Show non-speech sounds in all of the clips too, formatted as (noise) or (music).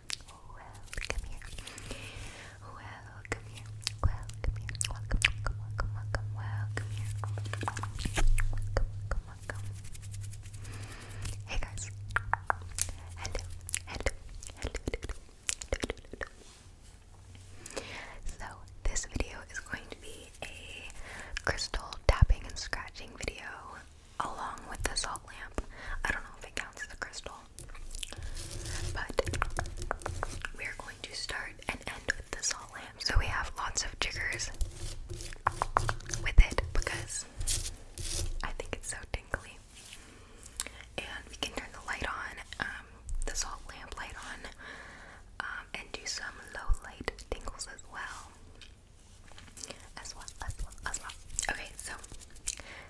Welcome here. Welcome here. Welcome here. Welcome, welcome, welcome, welcome, welcome here. Hey guys. hello, hello, hello, hello, hello. So, this video is going to be a crystal tapping and scratching video along with the salt lamp. I don't know if it counts as a crystal, but we're going to start and end with the salt lamp. So we have lots of jiggers with it because I think it's so tingly. And we can turn the light on, um, the salt lamp light on, um, and do some low light tingles as well. As well, as well, as well. Okay, so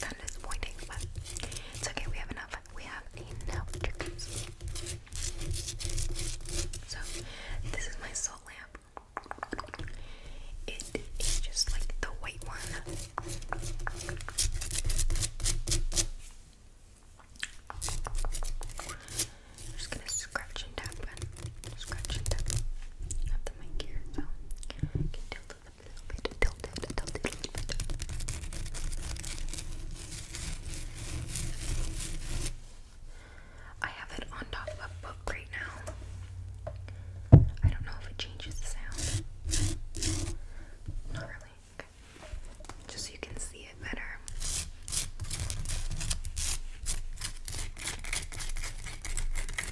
kind of disappointing, but it's okay. We have enough. We have enough triggers. So this is my salt lamp. It is just like the white one. just gonna scratch and tap and scratch and tap. have the mic here, so I can tilt it a I have it on top of a book right now. I don't know if it changes the sound. Not really. Just so you can see it better.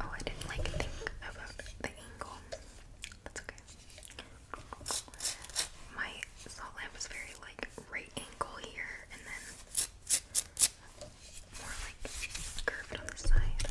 Oh, I didn't like think about the angle. That's okay. My salt lamp is very like right angle here and then more like curved on the side.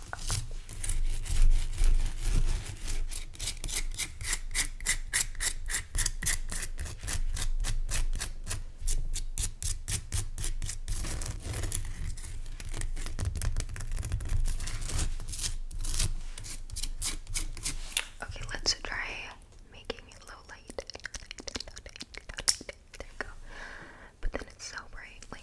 Okay, let's try making low light. But then it's so bright,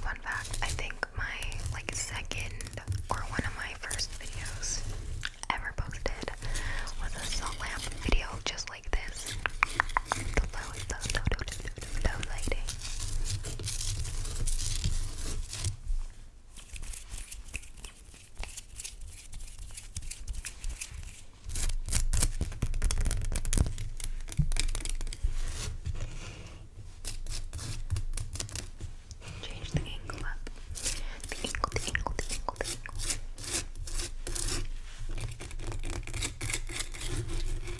Fun fact, I think my like second or one of my first videos ever posted was a salt lamp video just like this low lighting. Change the angle up. The angle, the angle, the angle, the angle.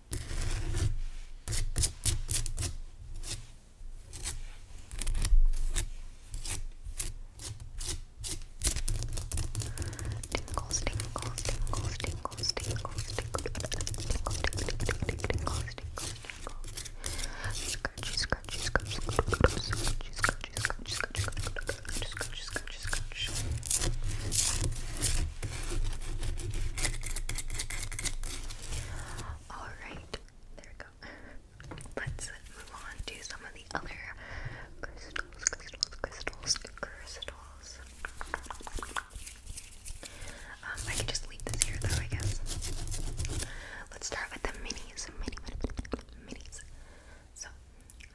Tingles, tingles, tingles, tingles, tingles, tingles, tingles, tingles, tingles, Scratchy, scratchy, scratchy, scratchy, scratchy, scratchy, scratchy, scratchy, scratchy, scratchy, Alright, there we go. Let's move on to some of the other crystals, crystals, crystals, crystals. Um, I can just leave this here though, I guess. Let's start with the minis, mini, minis. So,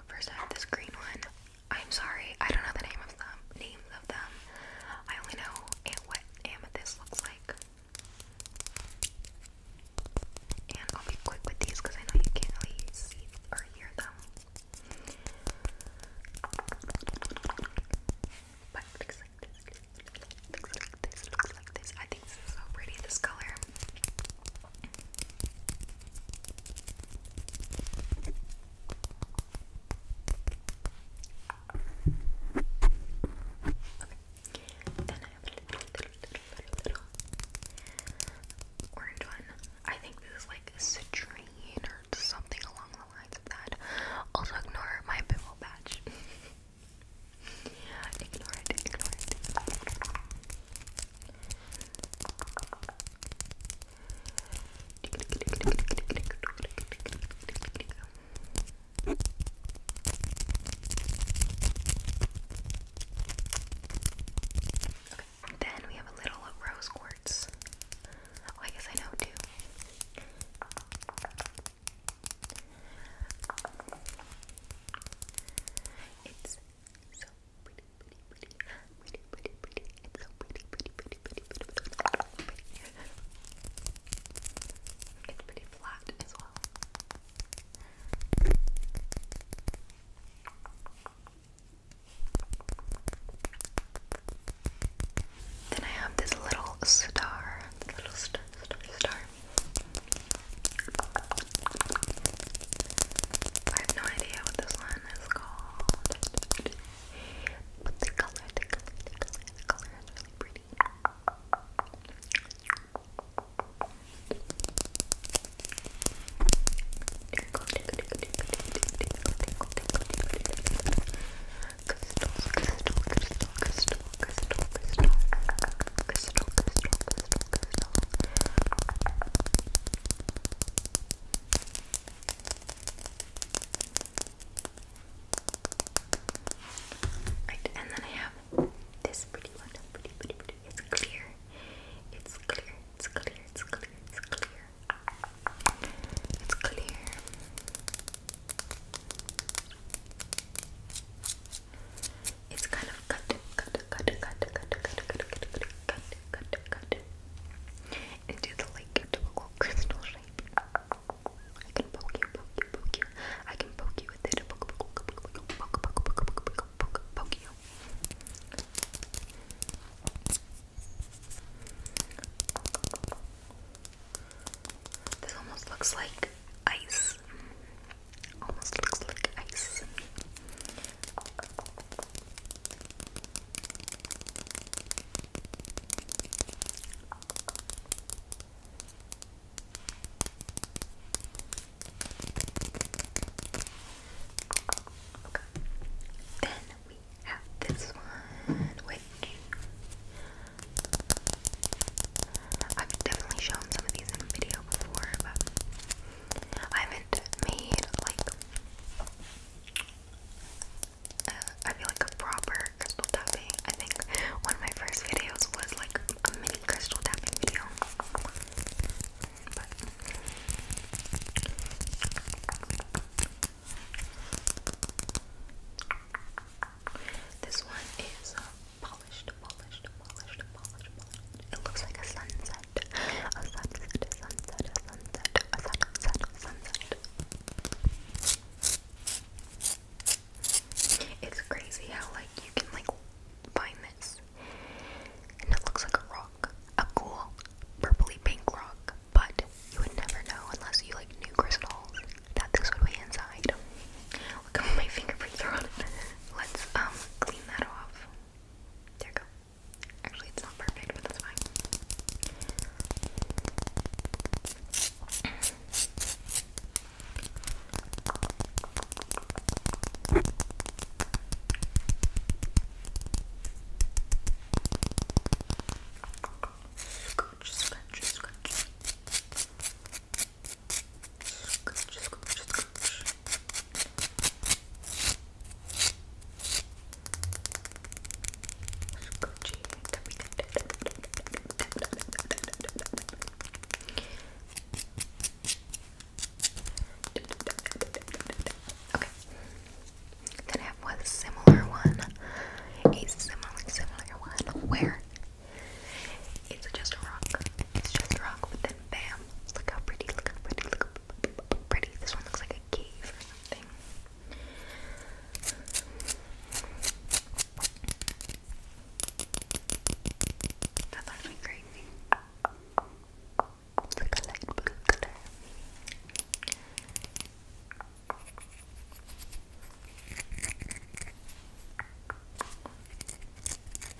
first I have this green one. I'm sorry, I don't know the name of them. Names of them. I only know what amethyst looks like. And I'll be quick with these because I know you can't really see or hear them. But looks like this. Looks like this. Looks like this. I think this so pretty. This color. Then I have a little, little, little, little orange one. I think this is like citrine or something along the lines of that. Also, ignore my pimple patch. (laughs) ignore it, ignore it. Okay. Then we have a little rose quartz. Oh, I guess I know too. It's so then I have this little star, little star. I have no idea what this one one is called. But the color, the color, the color, the color is really pretty. Crystal, crystal, crystal, crystal, crystal, crystal, crystal, crystal, crystal, crystal. Right, and then I have this pretty one. Pretty, pretty, pretty. It's clear. It's clear. It's clear. It's clear. It's clear. It's clear. It's kind of cut, cut, cut, cut, cut, cut, cut, cut, cut, cut, cut, into the like crystal shape. I can poke you, poke you, poke you. I can it. poke you. This almost looks like ice. Almost looks like ice. Then we have this one, which I've definitely shown some of these in a video before, but I have made like uh, I feel like a proper crystal tapping. I think one of my first videos was like a mini crystal tapping video. this one is polished, uh, polished, polished, polished, polished. It looks like a sunset a sunset, a sunset, a sunset, a sunset, a sunset. It's crazy how like you can like find this, and it looks like a rock, a cool purpley pink rock, but you would never know unless you like knew crystals that this would be inside. Look how my fingerprints are on it. Let's um clean that off. There you go. Actually, it's not perfect, but that's fine. Scratch, scratch, scratch. Scratch, scratch, scratch. Scoochie Okay. Then I have one similar one. A similar similar one where it's just a rock. It's just a rock, but then bam, Look how pretty, look how pretty, look how pretty. This one looks like a cave or something. That's actually crazy. It's a light blue color.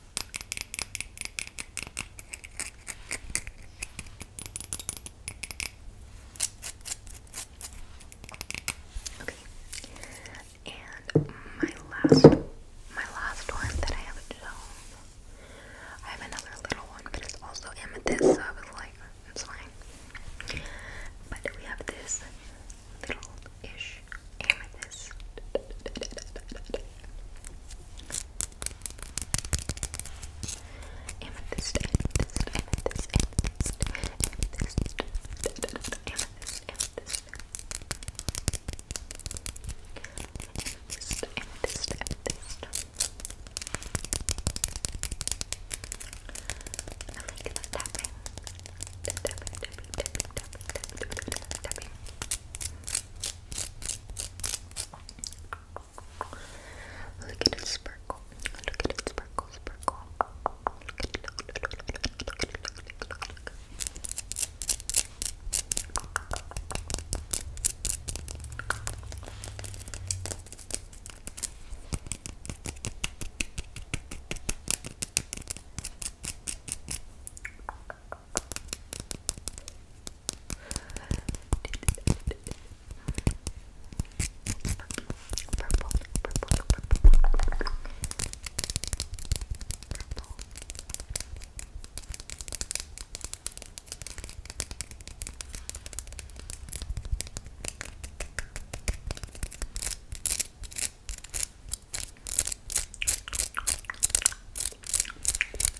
Okay. And my last my last one that I have at home. I have another little one, but it's also amethyst, so I was like, it's fine. But we have this little-ish amethyst. Amethyst, amethyst, amethyst, amethyst, amethyst, amethyst, amethyst. Amethyst, amethyst, amethyst. I like the tapping. The tapping, tapping, tapping, tapping, tapping, tapping, tapping. Look at it sparkle. Look at it sparkle, sparkle. Look at it, purple, purple, purple, purple.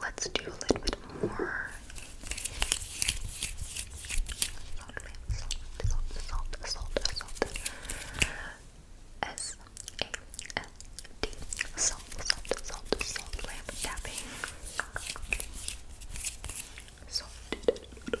Let's do a little bit more. Salt, salt, salt, salt, salt. S A L D. Salt, salt, salt, salt lamp tapping. Salt. Okay.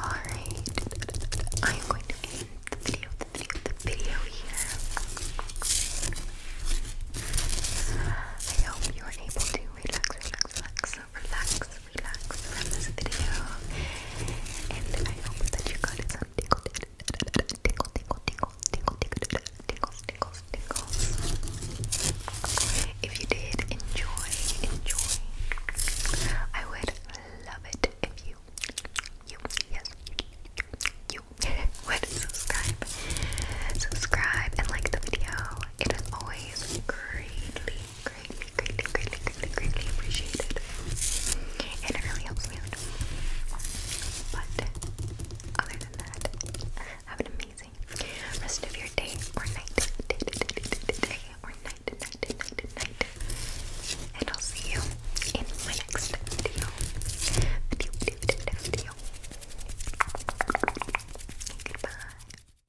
Alright, I am going to end the video, the video, the video here. I hope you are able to relax, relax, relax, relax relax from this video. And I hope that you got some tickle, tickle, tickle, tickle, tickle, tickle, tickles, tickles, tickles. If you did, enjoy, enjoy. I would love it if you, you, yes, you, would subscribe, subscribe, and like the video. It is always greatly greatly, greatly, greatly, greatly, greatly appreciated. And it really helps me But other than that, have an amazing rest of your day or night. Day, or night, night, night, night. And I'll see you in my next Video, video, video, video. Goodbye.